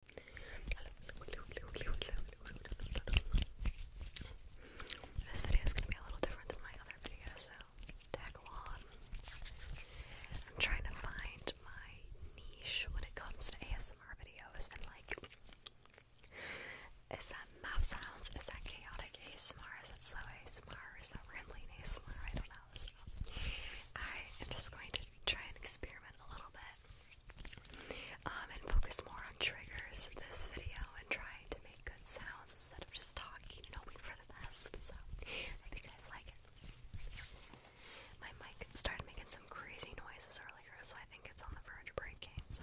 This video is going to be a little different than my other videos, so tag along. I'm trying to find my niche when it comes to ASMR videos and like, is that mouth sounds? Is that chaotic ASMR? Is that slow ASMR? Is that rambling ASMR? I don't know. So I am just going to try and experiment a little bit um, and focus more on triggers this video and trying to make good sounds instead of just talking and hoping for the best. So I hope you guys like it. My mic started making some crazy noises earlier, so I think it's on the verge of breaking. So.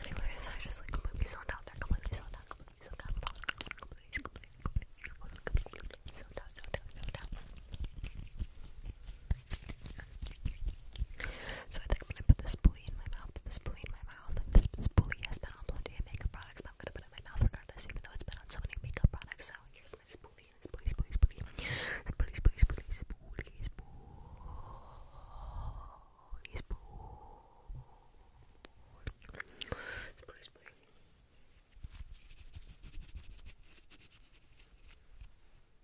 Anyways, I just like completely zoned out there, completely zoned out, completely zoned out, completely, completely, completely, completely, completely zoned out, zoned out, zoned out. So I think I'm gonna put this bully in my mouth, this bully in my mouth. This, bully has been on plenty of makeup products, but I'm gonna put it in my mouth regardless, even though it's been on so many makeup products. So here's my spoolie, spoolie, spoolie, spoolie, spoolie, spoolie, spoolie, spoolie, spoolie, spoolie, spoolie, spoolie.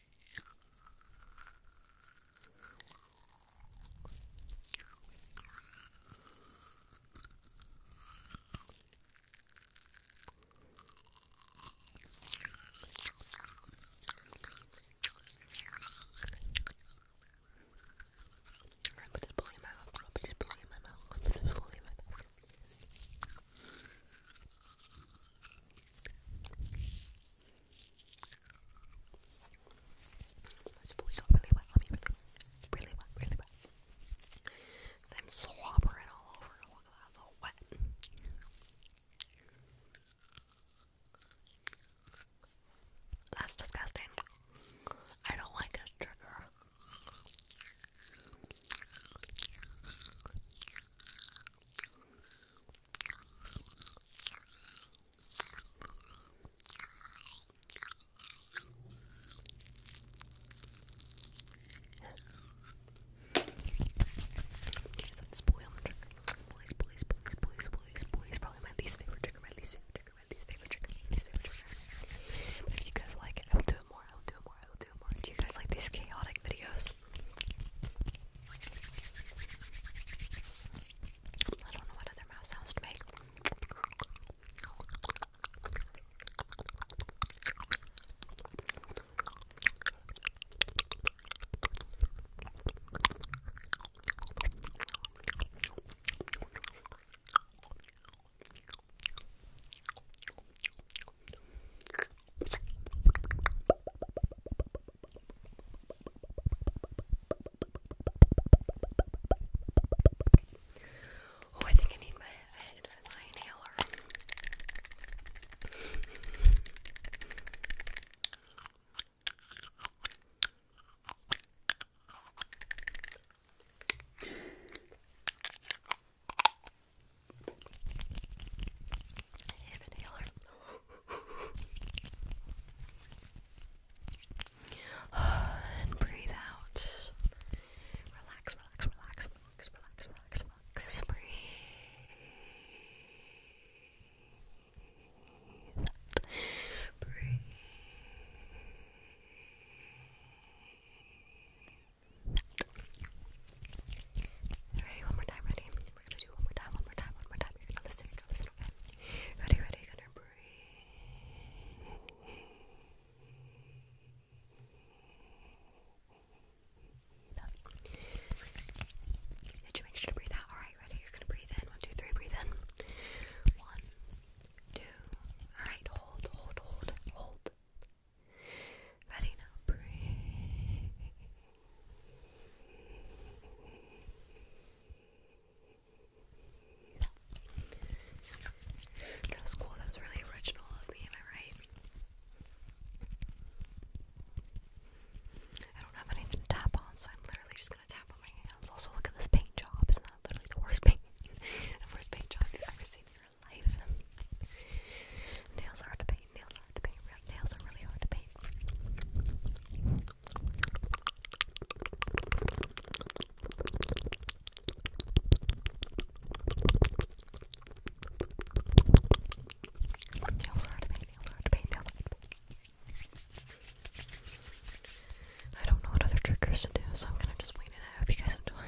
I put this bully in my mouth. I put this bully in my mouth. I put this bully in my mouth. Those boys got really wet on me, really, wet, really wet. Them slobbering all over. Look all wet. That's disgusting. I don't like this trigger. Okay, Probably my least favorite trigger, if you guys like it, I'll do it more, I'll do it more, I'll do it more. Do you guys like these chaotic videos? I don't know what other mouse sounds to make. Oh, I think I need my head for my inhaler. I and breathe out. Relax, relax, relax, relax, relax, relax, relax. Breathe. Breathe. Ready, one more time, ready? we're gonna do one more time, one more time, one more time. You're gonna listen, you're gonna listen, okay? Ready, ready, you're gonna breathe up. Did you make sure to breathe out? Alright, ready? You're gonna breathe in. One, two, three, breathe in. One, two, alright, hold, hold, hold, hold. Ready now, breathe. That was cool. That was really original of me, am I right? I don't have anything to tap on, so I'm literally just gonna tap on my hands. Also, look at this paint job. Isn't that literally the worst paint, the worst paint job you've ever seen in your life? Nails are to paint. Nails are hard to paint. nails are really hard to paint. Nails are hard to paint. Nails are hard to paint. Nails I don't know what other tricks to do, so I'm gonna just wait and I hope you guys enjoy.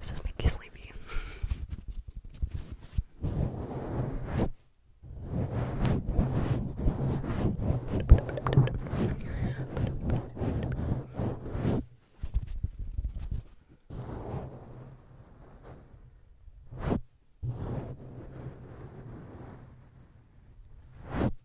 This this make you sleepy?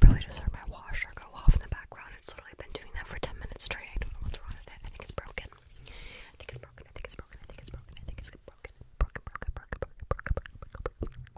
Probably just heard my washer go off in the background. It's literally been doing that for 10 minutes straight. I don't know what's wrong with it. I think it's broken. I think it's broken. I think it's broken. I think it's broken. I think it's broken. Broken, broken, broken, broken, broken, broken, broken, broken, broken.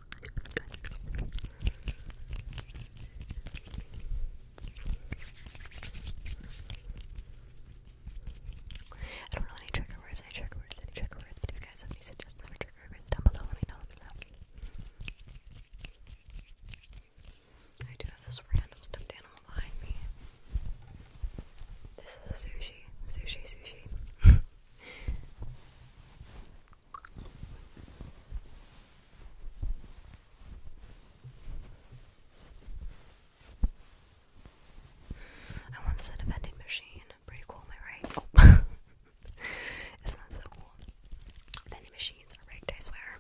I don't know any trigger words, any trigger words, any trigger words, but if you guys have any suggestions for trigger words down below, let me know, I do have this random stuffed animal behind me. This is a sushi, sushi, sushi. I want to set a vending machine. Pretty cool, am I right? Oh. Isn't so cool? Vending machines are rigged, I swear.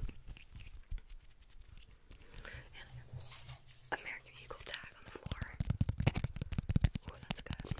American Eagle tag on the floor. Oh, that's good.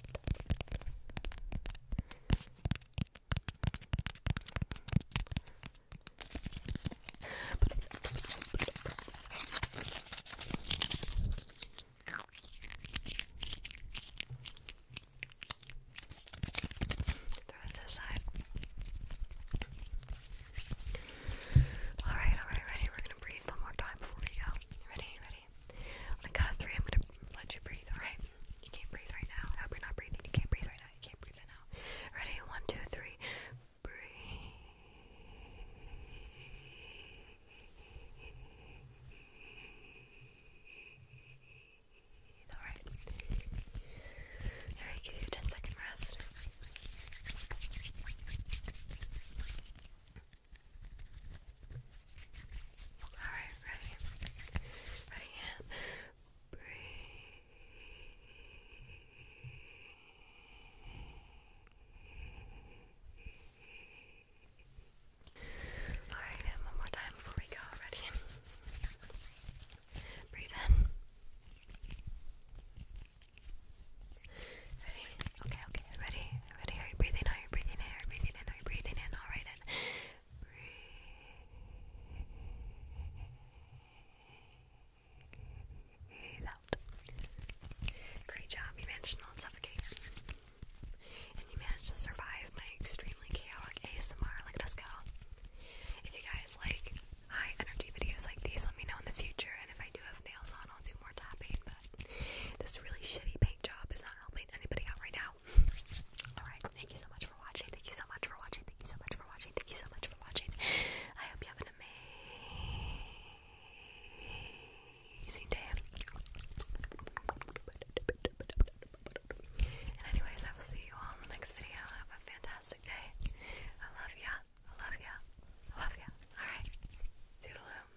Throw it to the side. Alright, alright, ready? We're gonna breathe one more time before we go. Ready, ready, okay? On a count of three, I'm gonna let you breathe, alright? You can't breathe right now. I hope you're not breathing. You can't breathe right now. You can't breathe right now. Ready? One, two, three. Breathe. Alright. Alright, give you a 10 second rest. Alright, ready? Ready? Breathe. Alright, one more time before we go. Ready? Breathe in. Ready? Okay, okay, ready? Ready? Are you breathing? Are you breathing? Are you breathing in? Are you breathing in? All right, and breathe out. Great job. You managed not suffocate, and you managed to survive my extremely chaotic ASMR. Look at us If you guys like high energy videos like these, let me know in the future. And if I do have nails on, I'll do more tapping but this really shitty paint job is not helping anybody out right now. Alright, thank you so much for watching. Thank you so much for watching. Thank you so much for watching. Thank you so much for watching. I hope you have an amazing day. And, anyways, I will see you all in the next video. Have a fantastic day. I love ya. I love ya. I love ya. Alright. Toodaloo.